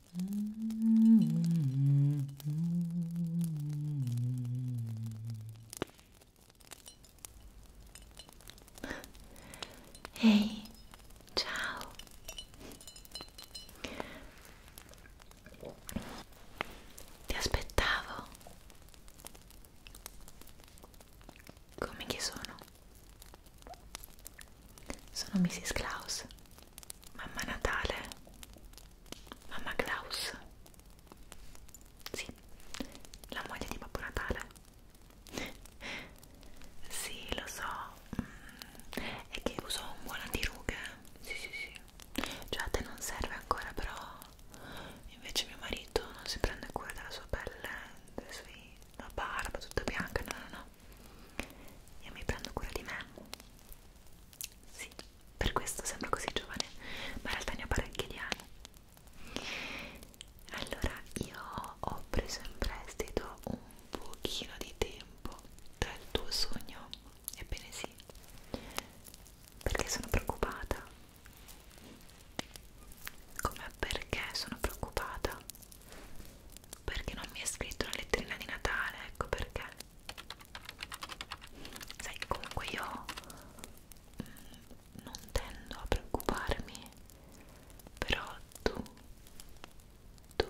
Ehi, hey, ciao. Ti aspettavo. Come chi sono? Sono Mrs. Klaus. Mamma Natale, Mamma Claus, sì, la moglie di Babbo Natale. sì, lo so, mm, è che uso un buon antirughe. Sì, sì, sì. Cioè a te non serve ancora, però invece mio marito non si prende cura della sua pelle, della sua la barba tutta bianca, no, no, no. Io mi prendo cura di me sì, per questo sembra così giovane, ma in realtà ne ho parecchi di anni. Allora, io ho preso in prestito un pochino di tempo tra il tuo sogno, ebbene sì, perché sono preoccupata. Come perché sono preoccupata? Perché non mi hai scritto la letterina di Natale, ecco perché sai comunque io mm, non tendo a preoccuparmi però tu tu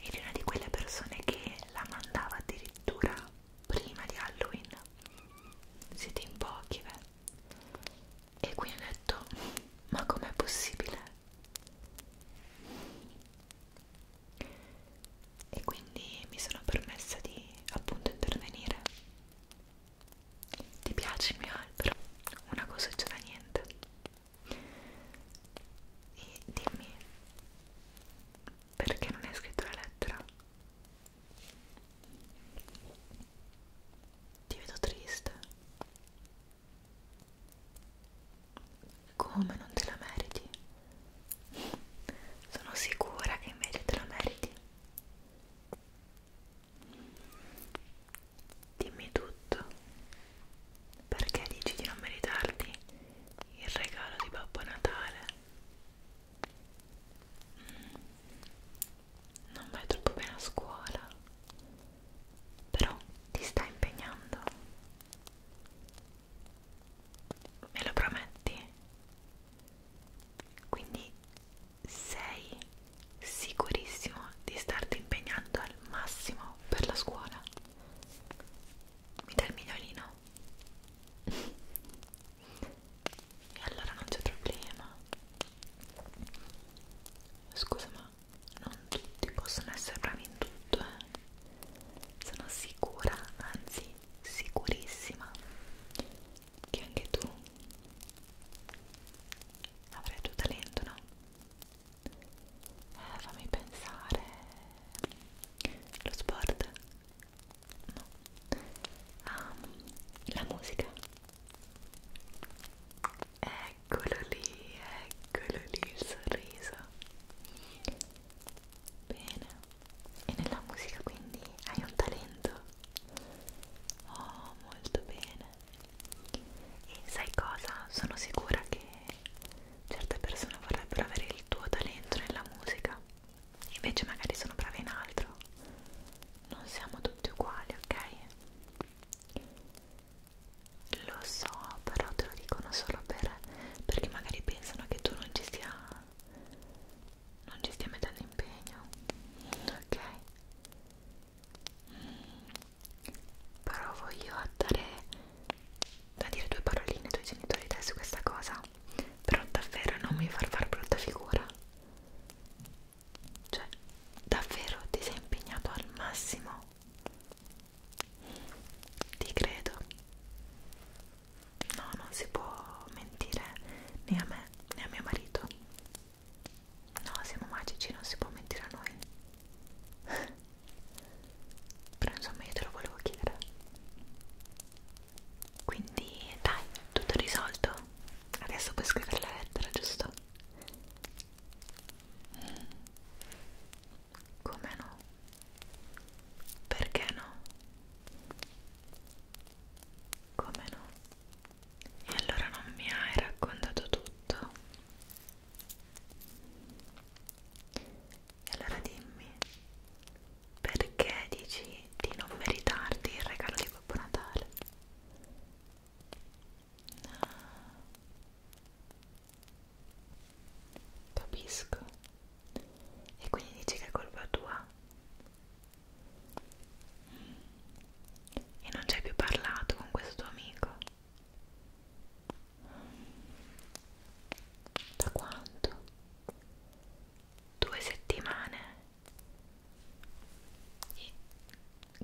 eri una di quelle persone che la mandava addirittura prima di Halloween siete in pochi beh e quindi ho detto ma com'è possibile e quindi mi sono permessa di appunto intervenire ti piace il mio albero? una cosa c'è da niente e dimmi perché non hai scritto la lettera? ti vedo triste come non te la meriti? Sono sicura che invece te la meriti. Dimmi tutto. Perché dici di non meritarti il regalo di Babbo Natale? Mm. Non vai troppo bene a scuola. Però ti stai impegnando. Me lo prometti? Quindi sei sicurissimo di starti impegnando al massimo per la scuola? Mi dai il migliorino? e allora non c'è problema. Scusa ma non tutti possono essere bravi in tutto, eh? sono sicura, anzi sicurissima che anche tu avrai il tuo talento, no? Eh, fammi pensare lo sport no um, la musica eccolo lì eccolo lì il sorriso Bene. E nella musica quindi hai un talento? Oh, molto bene. E sai cosa? Sono sicura che certe persone vorrebbero avere il tuo talento nella musica. Invece magari sono brave in altro. Non siamo tutti uguali, ok? Lo so, però te lo dicono solo per perché magari pensano che tu non ci stia non ci stia mettendo impegno ok mm. provo io a dare a dire due paroline ai tuoi genitori dai su questa cosa però davvero non mi far far brutta figura cioè davvero ti sei impegnato al massimo ti credo. No, non si può mentire né a me né a mio marito. No, siamo magici, non si può mentire a noi. Però insomma io te lo volevo chiedere. Quindi dai, tutto risolto. Adesso puoi scrivere la lettera, giusto? Mm. Come no? Perché no? Come no? E allora non mi hai raccontato tutto? E allora dimmi, perché dici di non meritarti il regalo di Babbo Natale? No. Capisco. E quindi dici che è colpa tua? E non ci hai più parlato con questo tuo amico? Da quanto? Due settimane? E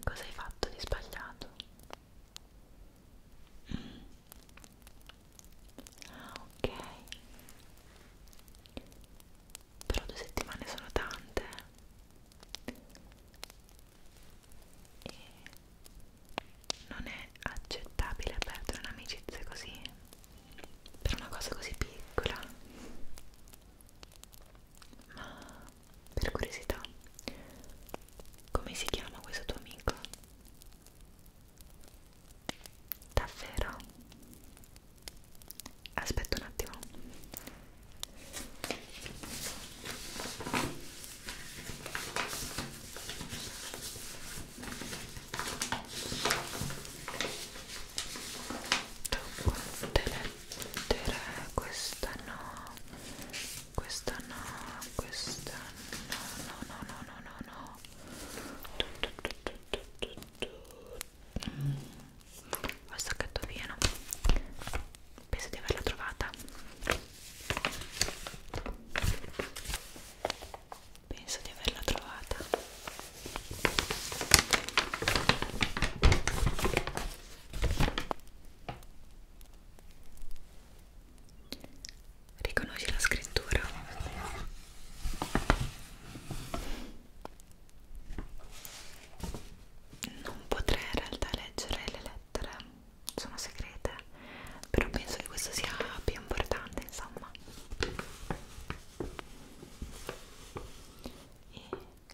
cosa hai fatto di sbagliato? Ah, ok. Però due settimane sono tante. E non è accettabile perdere un'amicizia così. Per una cosa così piccola. Ma per curiosità, come si chiama questo tuo amico? Davvero? Aspetta un attimo. Devo mettere questa no, questa no, questa no, no, no, no, no, no, no al sacchetto pieno penso di averla trovata penso di averla trovata Riconosci la scrittura? Non potrei in realtà leggere le lettere, sono segrete, però penso che questo sia più importante, insomma. E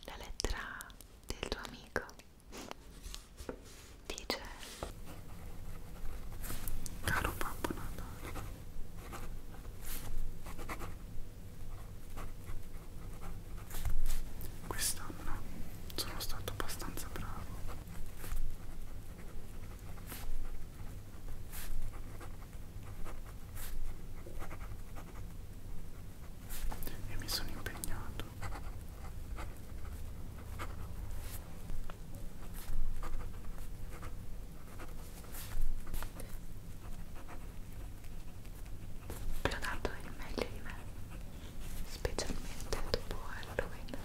la lettera del tuo amico dice caro Babbo Natale quest'anno sono stato abbastanza bravo e mi sono impegnato vi ho dato il meglio di me specialmente dopo Halloween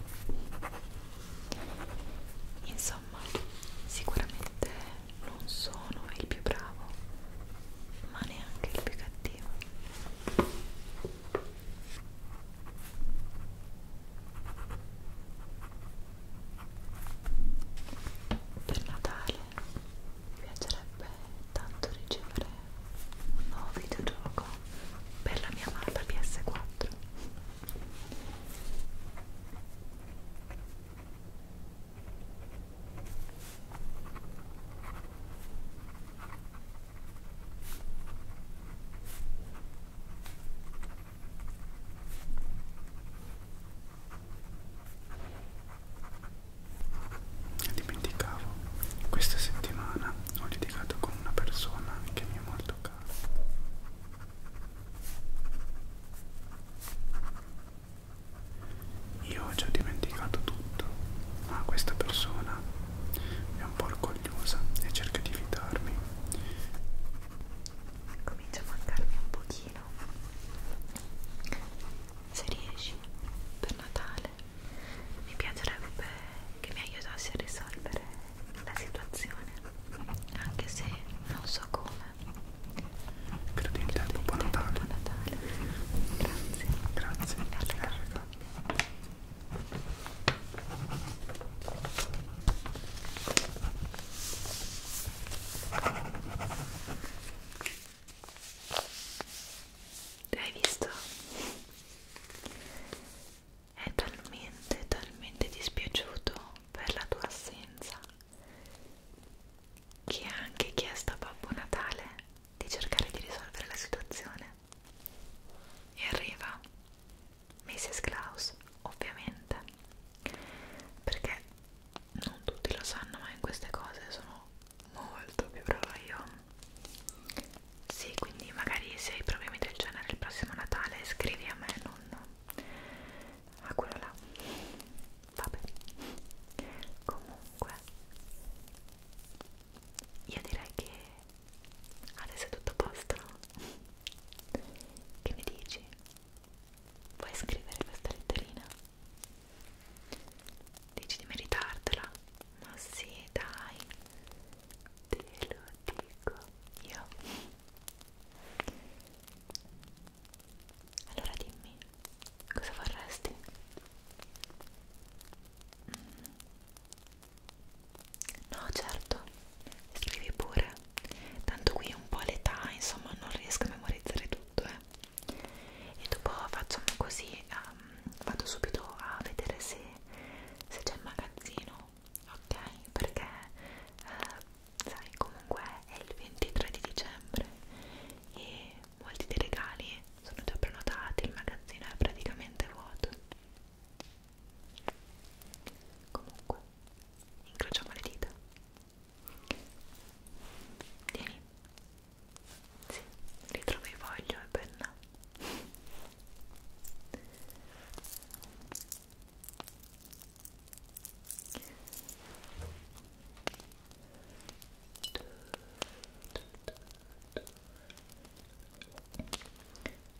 insomma sicuramente non sono il più bravo ma neanche il più cattivo per Natale mi piacerebbe tanto ricevere un nuovo videogioco per la mia amata PS4 Dimenticavo, questa settimana ho litigato con una persona che mi è molto cara. Io ho già dimenticato tutto, ma questa persona è un po' orgogliosa meravigliosa e cerca di evitarmi. Comincia a mancarmi un pochino. Se riesci, per Natale, mi piacerebbe che mi aiutassi a risolvere la situazione, anche se non so come. Credo in te, buon Natale. Buon Natale. Grazie. Grazie. Grazie. L'hai visto? È talmente, talmente dispiaciuto per la tua assenza che ha anche chiesto a Babbo Natale di cercare di risolvere la situazione e arriva Mrs. Klaus, ovviamente, perché non tutti lo sanno, ma in queste cose sono molto più brava io. Sì, quindi magari se hai problemi del genere il prossimo Natale scrivi a me, non a quello là. Vabbè, comunque, io direi che Adesso è tutto a posto. Che mi dici? Vuoi scrivere questa letterina? Dici di meritartela? Ma sì, dai. Te lo dico io. Allora dimmi, cosa vorresti? Mm. No, certo, scrivi pure. Tanto qui è un po' l'età, insomma, non riesco a memorizzare tutto, eh. E dopo facciamo così, um, vado subito a vedere se, se c'è il magazzino, ok? Perché, uh, sai, comunque è il 23 di dicembre e molti dei regali sono già prenotati, il magazzino è praticamente vuoto comunque incrociamo le dita vieni sì, ritrovi foglio e penna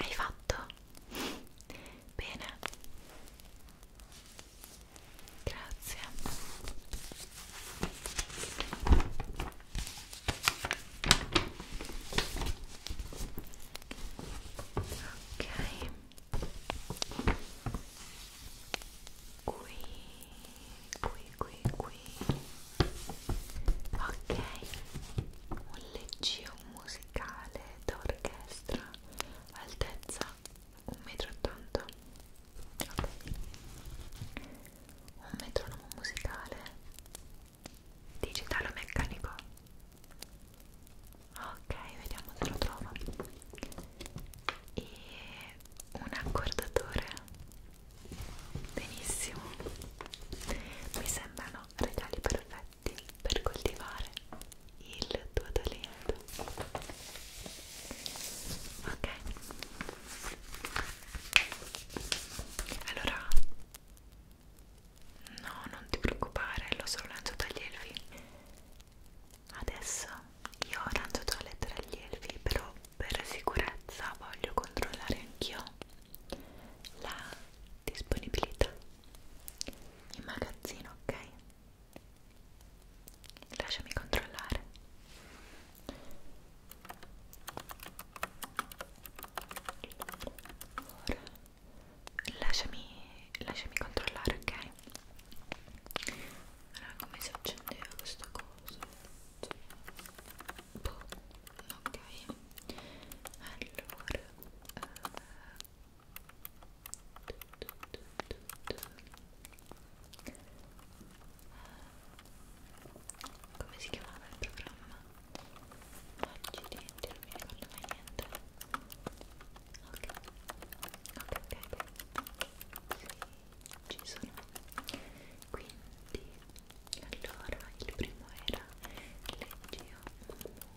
Hai fatto? Bene, Grazie. Ok. Qui, qui, qui, qui. Ok. Un leggio musicale d'orchestra altezza 1,80 m okay. un metronomo musicale digitale o meccanico ok vediamo se lo trovo e un accordatore benissimo mi sembrano regali perfetti piatti per coltivare il tuo talento ok allora no non ti preoccupare lo so lancio dagli elfi adesso io lancio la lettera agli elfi però per sicurezza voglio controllare anch'io la disponibilità in magazzino ok Lasciami controllare. Ora lasciami, lasciami controllare, ok? Allora, come si accendeva questa cosa? Boh, ok. Allora, eh, come si chiamava il programma? accidenti, non mi ricordo mai niente ok, ok, ok sì, ci sono quindi allora il primo era leggio un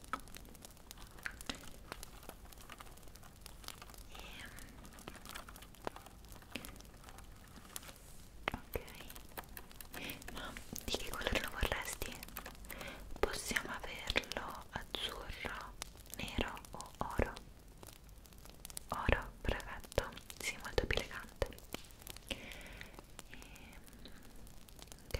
E... ok ma di che colore lo vorresti? possiamo averlo azzurro, nero o oro? oro, perfetto si sì, molto più elegante e... Ehm, ok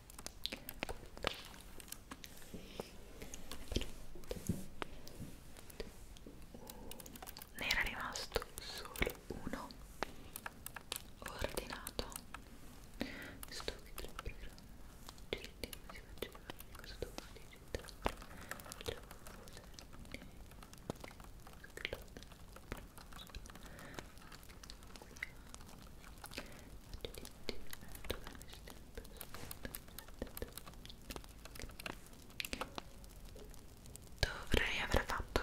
ne era rimasto solo uno ordinato sto che tra il programma gente si faccia cosa domani c'entrare la cosa Faccio di tutti, dove mi stai? dovrei aver fatto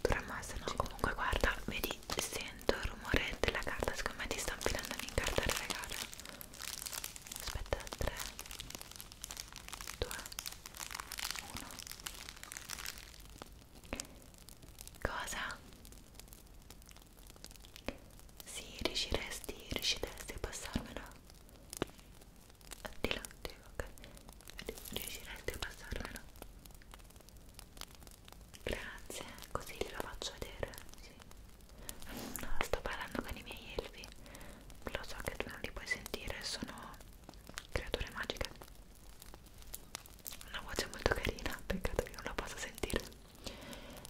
dovremmo esserci no, comunque guarda vedi sento il rumore della carta secondo me ti sta infilando in carta regale aspetta 3 2 1 cosa sì, riusciresti, riusciresti a passarmela? Di là, di là, ok. Riusciresti a passarmela? Grazie, così gliela faccio vedere, sì. No, sto parlando con i miei elfi. Lo so che tu non li puoi sentire, sono creature magiche. Una voce molto carina, peccato che non la possa sentire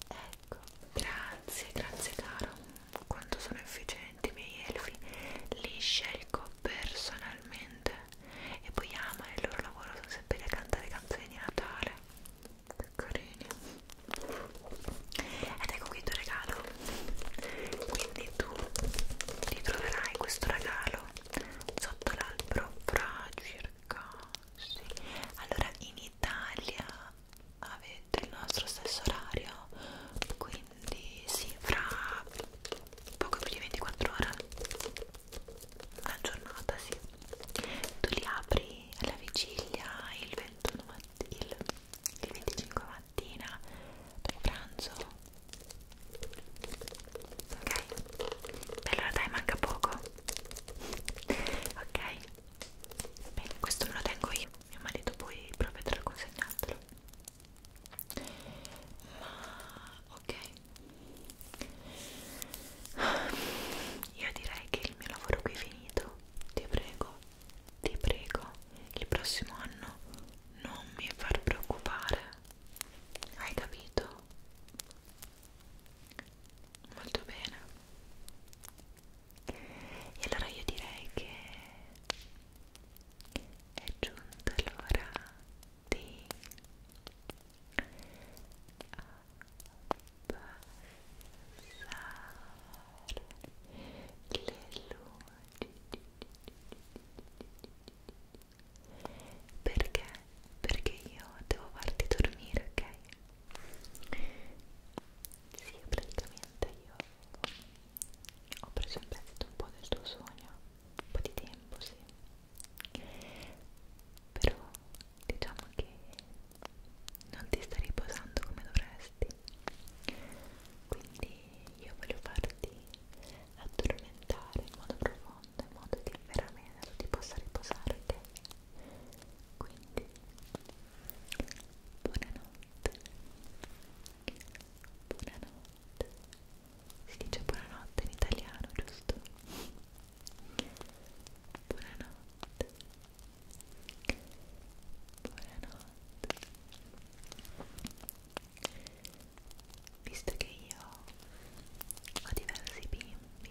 ecco grazie grazie caro quanto sono efficienti i miei elfi li scelgo personalmente e poi ama il loro lavoro sono sempre a cantare canzoni di Natale che carini ed ecco qui il tuo regalo quindi tu ritroverai questo regalo sotto l'albero fra circa sì. Allora in Italia avete il nostro stesso orario, quindi sì, fra poco più di 24 ore, una giornata sì. Tu li apri alla vigilia il 21 mattina, il 25 mattina per pranzo. Ok? Allora dai, manca poco ok bene questo me lo tengo io mio marito poi provvederà a consegnartelo ma ok io direi che il mio lavoro qui è finito ti prego ti prego il prossimo anno non mi far preoccupare hai capito molto bene e allora io direi che è giunta l'ora di abbassare le luci perché perché io devo farti dormire, ok? Sì, praticamente io ho preso in prestito un po' del tuo sogno, un po' di tempo, sì. Però diciamo che non ti stai riposando come dovresti. Quindi io voglio farti addormentare in modo profondo fondo in modo che veramente tu ti possa riposare ok? quindi buonanotte buonanotte si dice buonanotte in italiano giusto? buonanotte buonanotte visto che io ho diversi bimbi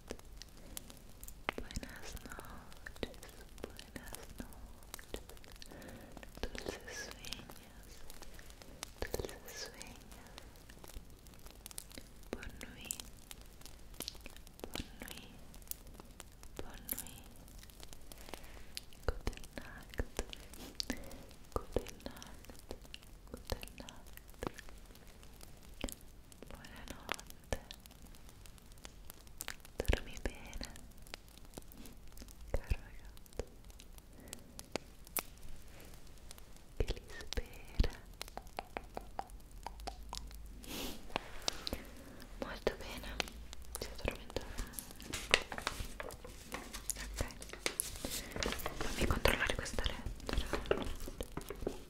Buenas noches, buenas noches, dulces sueños, dulces sueños. Bonne nuit, bonne nuit, bonne nuit. Gute Nacht, gute Nacht, gute Nacht. Buonanotte. Dormi bene. Caro ragazzo. Che li spera. Molto bene. Si è addormentato. Ok. Fammi controllare questa lettera.